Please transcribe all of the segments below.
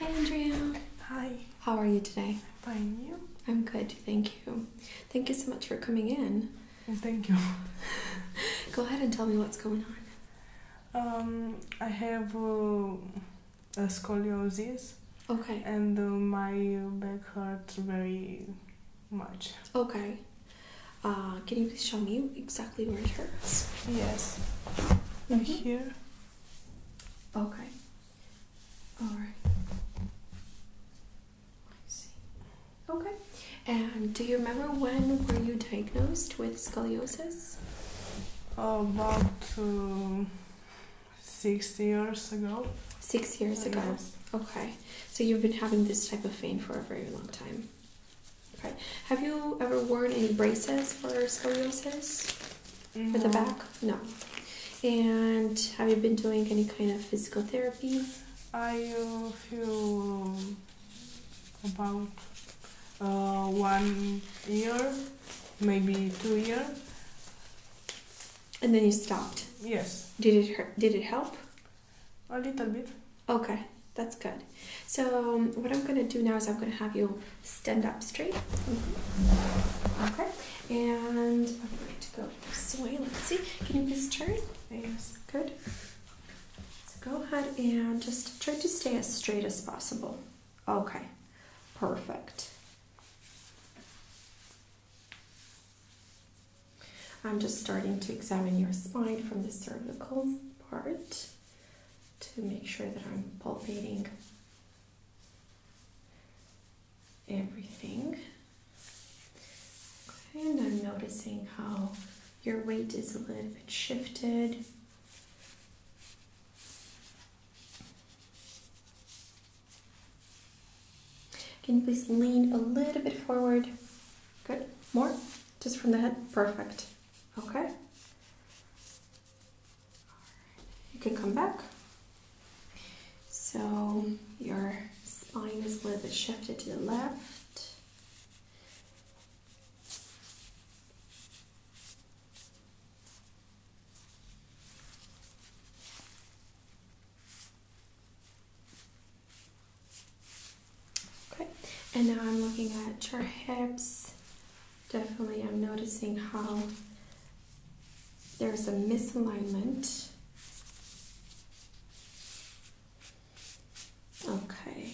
Hi, Andrea. Hi. How are you today? Fine, you? I'm good, thank you. Thank you so much for coming in. Mm, thank you. Go ahead and tell me what's going on. Um, I have uh, scoliosis. Okay. And uh, my back hurts very much. Okay. Uh, can you please show me exactly where it hurts? Yes. Mm Here. Okay. All right. I see. Okay. And do you remember when were you diagnosed with scoliosis? About um, six years ago. Six years ago. Okay so you've been having this type of pain for a very long time. Okay, have you ever worn any braces for scoliosis? For the back? No. And have you been doing any kind of physical therapy? I uh, uh about uh, one year, maybe two year. And then you stopped. Yes. Did it hurt? Did it help? a little bit. Okay, that's good. So um, what I'm gonna do now is I'm gonna have you stand up straight. Mm-hmm. Okay, and I'm going to go this way. Let's see. Can you please turn? Yes. Good. So go ahead and just try to stay as straight as possible. Okay. Perfect. I'm just starting to examine your spine from the cervical part to make sure that I'm palpating everything. and I'm noticing how your weight is a little bit shifted. Can you please lean a little bit forward? Good. More? Just from the head? Perfect. Okay. You can come back. So your spine is a little bit shifted to the left. Okay, and now I'm looking at your hips. Definitely, I'm noticing how there's a misalignment. Okay.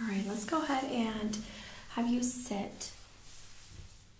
All right, let's go ahead and have you sit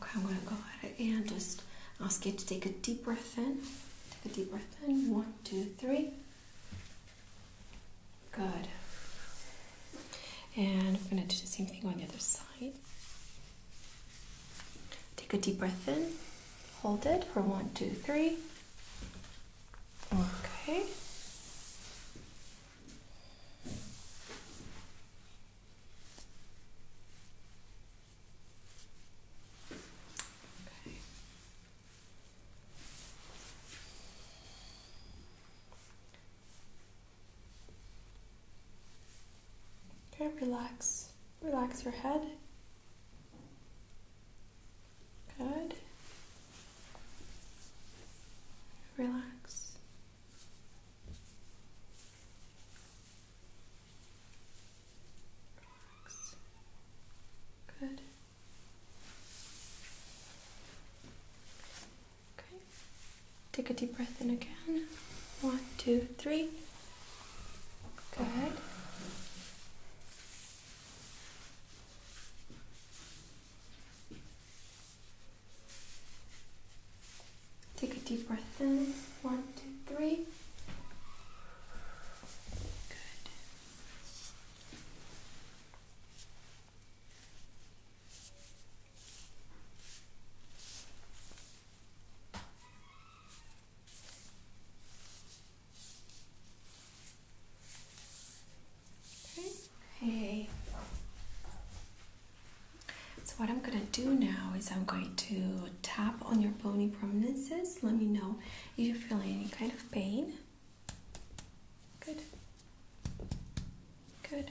Okay, I'm going to go ahead and just ask you to take a deep breath in. Take a deep breath in. One, two, three. Good. And I'm going to do the same thing on the other side. Take a deep breath in, hold it for one, two, three. Okay. Okay. Okay, relax. Relax your head. Good. Relax. Relax. Good. Okay. Take a deep breath in again. One, two, three. Good. Take a deep breath in. One, two, three. Good. Okay. So what I'm gonna do now is I'm going to tap on your bony prominences. Let me know if you feel any kind of pain. Good. Good.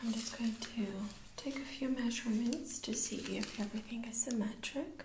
I'm just going to take a few measurements to see if everything is symmetric.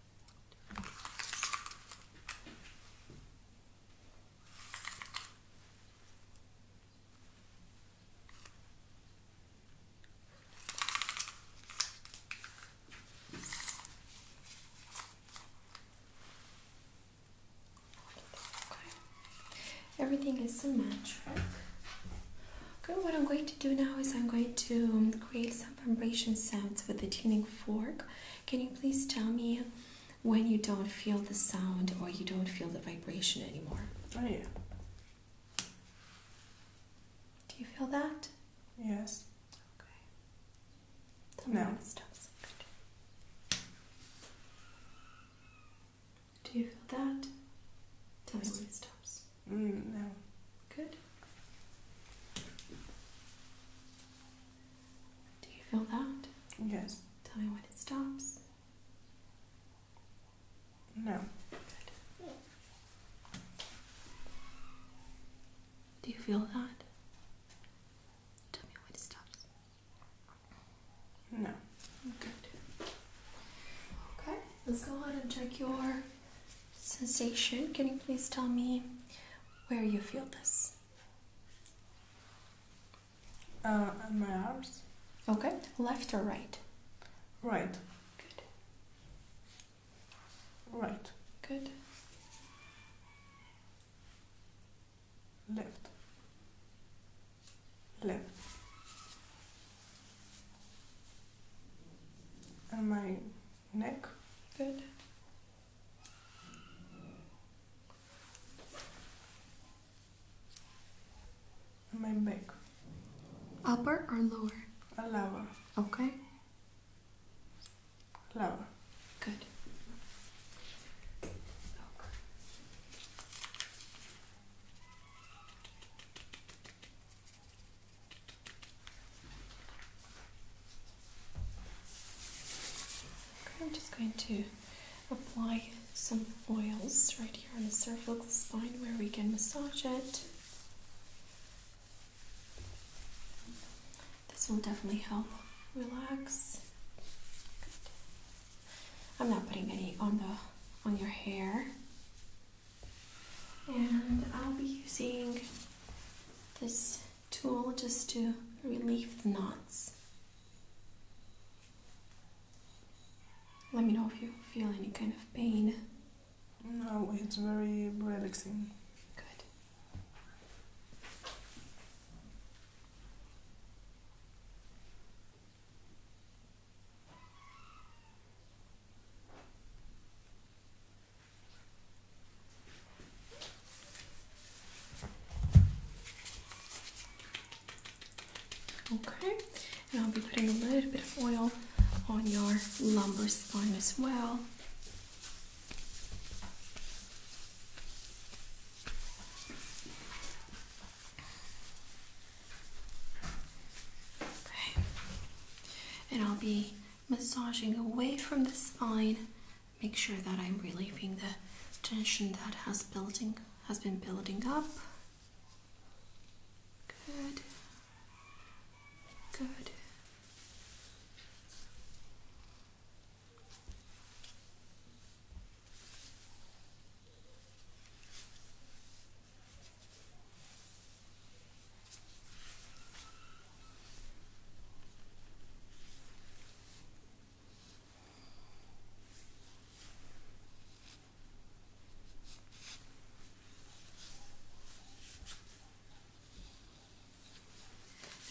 Everything is symmetric. Okay, what I'm going to do now is I'm going to create some vibration sounds with the tuning fork. Can you please tell me when you don't feel the sound or you don't feel the vibration anymore? Oh, yeah. Do you feel that? Yes. Okay. Tell me stops. Do you feel that? Tell me when it stops. Mm, no. Good. Do you feel that? Yes. Tell me when it stops. No. Good. Do you feel that? Tell me when it stops. No. Good. Okay, let's go ahead and check your sensation. Can you please tell me where you feel this? Uh, on my arms. Okay, left or right? Right. Good. Right. Good. Left. Left. And my neck. Good. And my back. Upper or lower? A lower. Okay. Lower. Good. I'm just going to apply some oils right here on the cervical spine where we can massage it. This will definitely help relax. I'm not putting any on the on your hair. And I'll be using this tool just to relieve the knots. Let me know if you feel any kind of pain. No, it's very relaxing. Good. Okay, and I'll be putting a little bit of oil on your lumbar spine as well. Okay, and I'll be massaging away from the spine. Make sure that I'm relieving the tension that has building has been building up. Good. Good.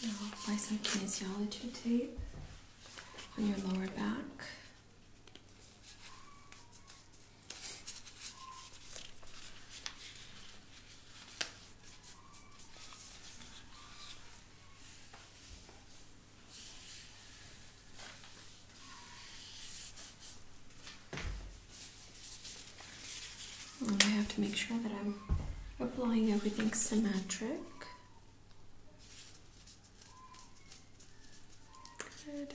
Now I'll apply some kinesiology tape on your lower back. I have to make sure that I'm applying everything symmetric. Good.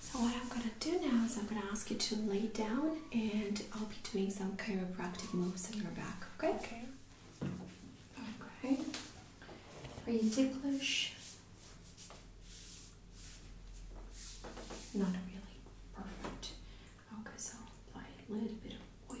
so what I'm gonna do now is I'm gonna ask you to lay down and I'll be doing some chiropractic moves on your back, okay? Okay. Okay. Are you ticklish? Not really. Perfect. Okay, so apply a little bit of oil.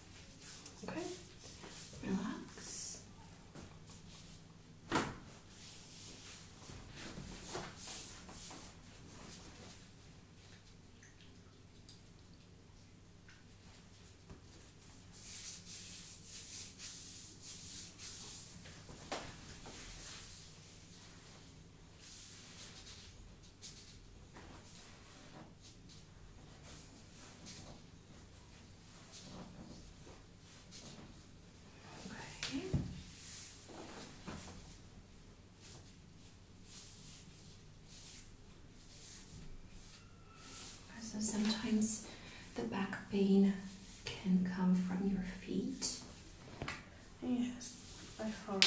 Okay, relax. So sometimes the back pain can come from your feet. Yes, I heard.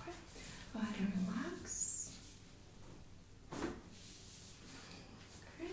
Okay, go ahead relax. Okay.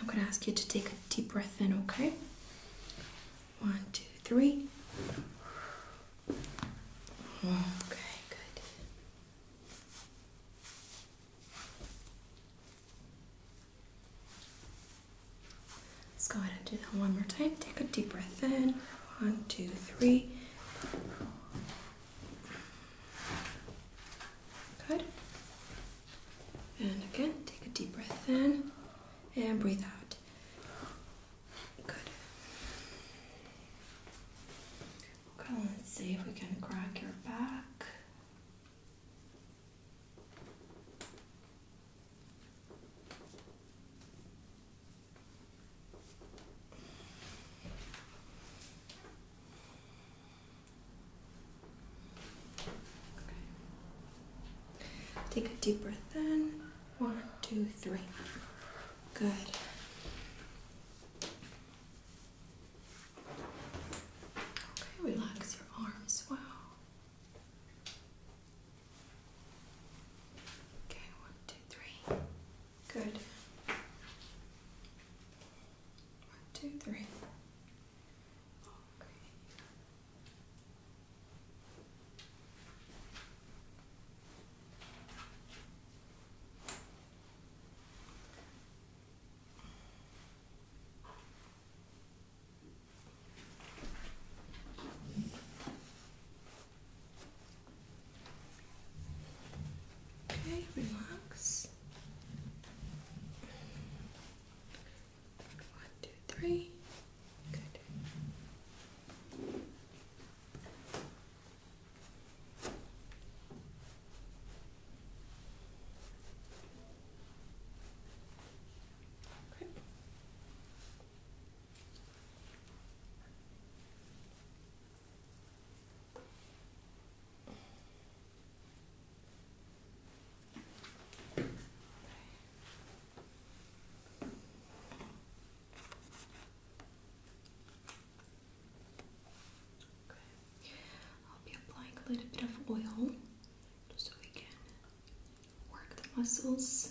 I'm going to ask you to take a deep breath in, okay? One, two, three. Okay, good. Let's go ahead and do that one more time. Take a deep breath in. One, two, three. Good. And again, take a deep breath in and breathe out. Good. Okay, let's see if we can crack your back. Take a deep breath in. One, two, three. Good. Okay, relax your arms well. Okay, one, two, three. Good. One, two, three. Okay, relax. One, two, three. Good. Okay. I'll be applying a little bit of oil just so we can work the muscles.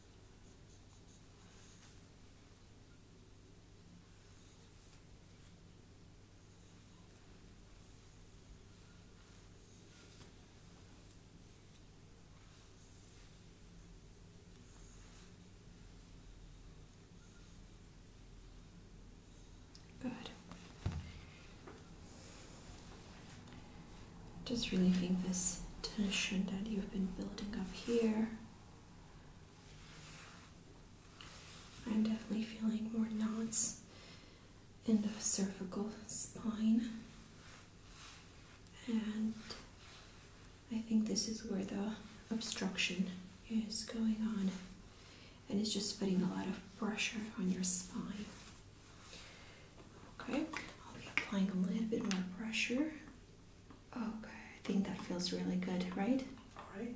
Good. Just relieving this tension that you've been building up here I'm definitely feeling more knots in the cervical spine, and I think this is where the obstruction is going on, and it's just putting a lot of pressure on your spine. Okay, I'll be applying a little bit more pressure Okay, I think that feels really good, right? All right.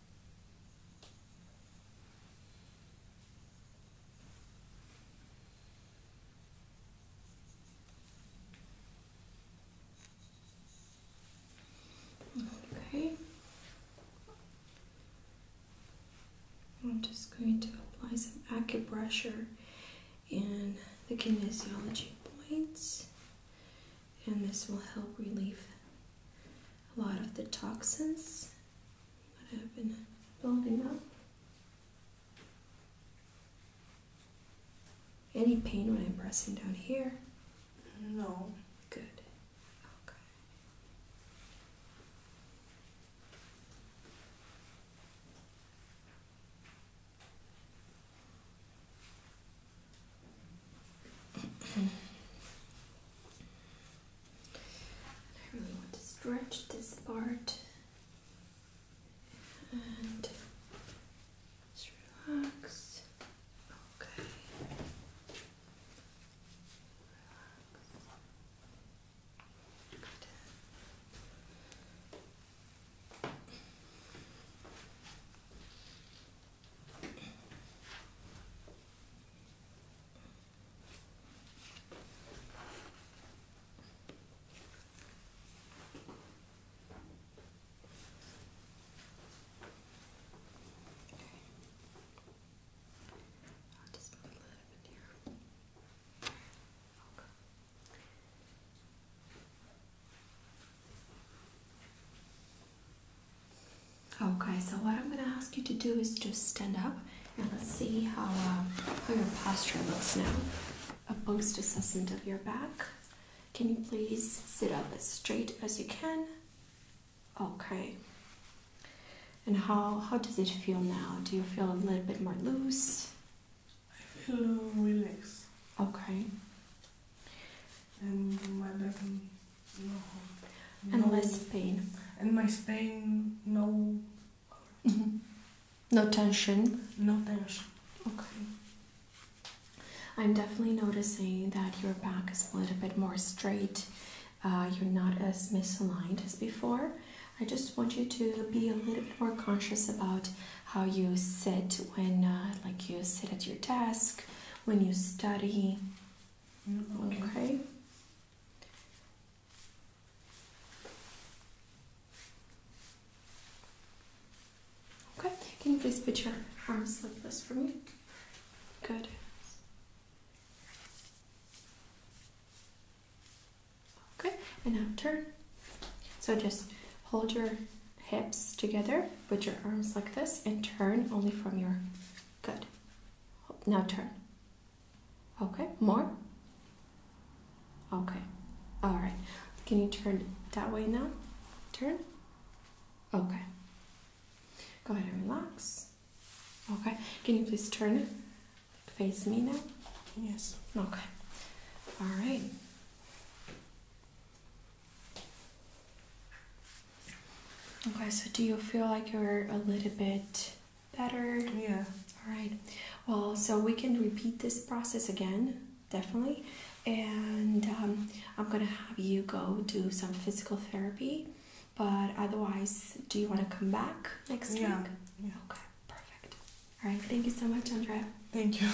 Okay. I'm just going to apply some acupressure in the kinesiology points and this will help relieve a lot of the toxins that have been building up. Any pain when I'm pressing down here? No. Good. Okay. I really want to stretch this part and just relax. Okay. I'll just move a little bit here. Okay. Okay, so what I'm gonna ask you to do is just stand up and let's see how, um, how your posture looks now. A post assessment of your back. Can you please sit up as straight as you can? Okay. And how, how does it feel now? Do you feel a little bit more loose? I feel relaxed. Okay and my back no, and no, my spine, and my spine, no no tension no tension okay I'm definitely noticing that your back is a little bit more straight uh, you're not as misaligned as before I just want you to be a little bit more conscious about how you sit when uh, like you sit at your desk when you study. Okay. okay. Can you please put your arms like this for me? Good. Okay, and now turn. So just hold your hips together put your arms like this and turn only from your good now turn okay more okay all right can you turn that way now turn okay go ahead and relax okay can you please turn face me now yes okay all right Okay, so do you feel like you're a little bit better? Yeah. All right. Well, so we can repeat this process again, definitely. And um, I'm going to have you go do some physical therapy. But otherwise, do you want to come back next yeah. week? Yeah. Okay, perfect. All right. Thank you so much, Andrea. Thank you.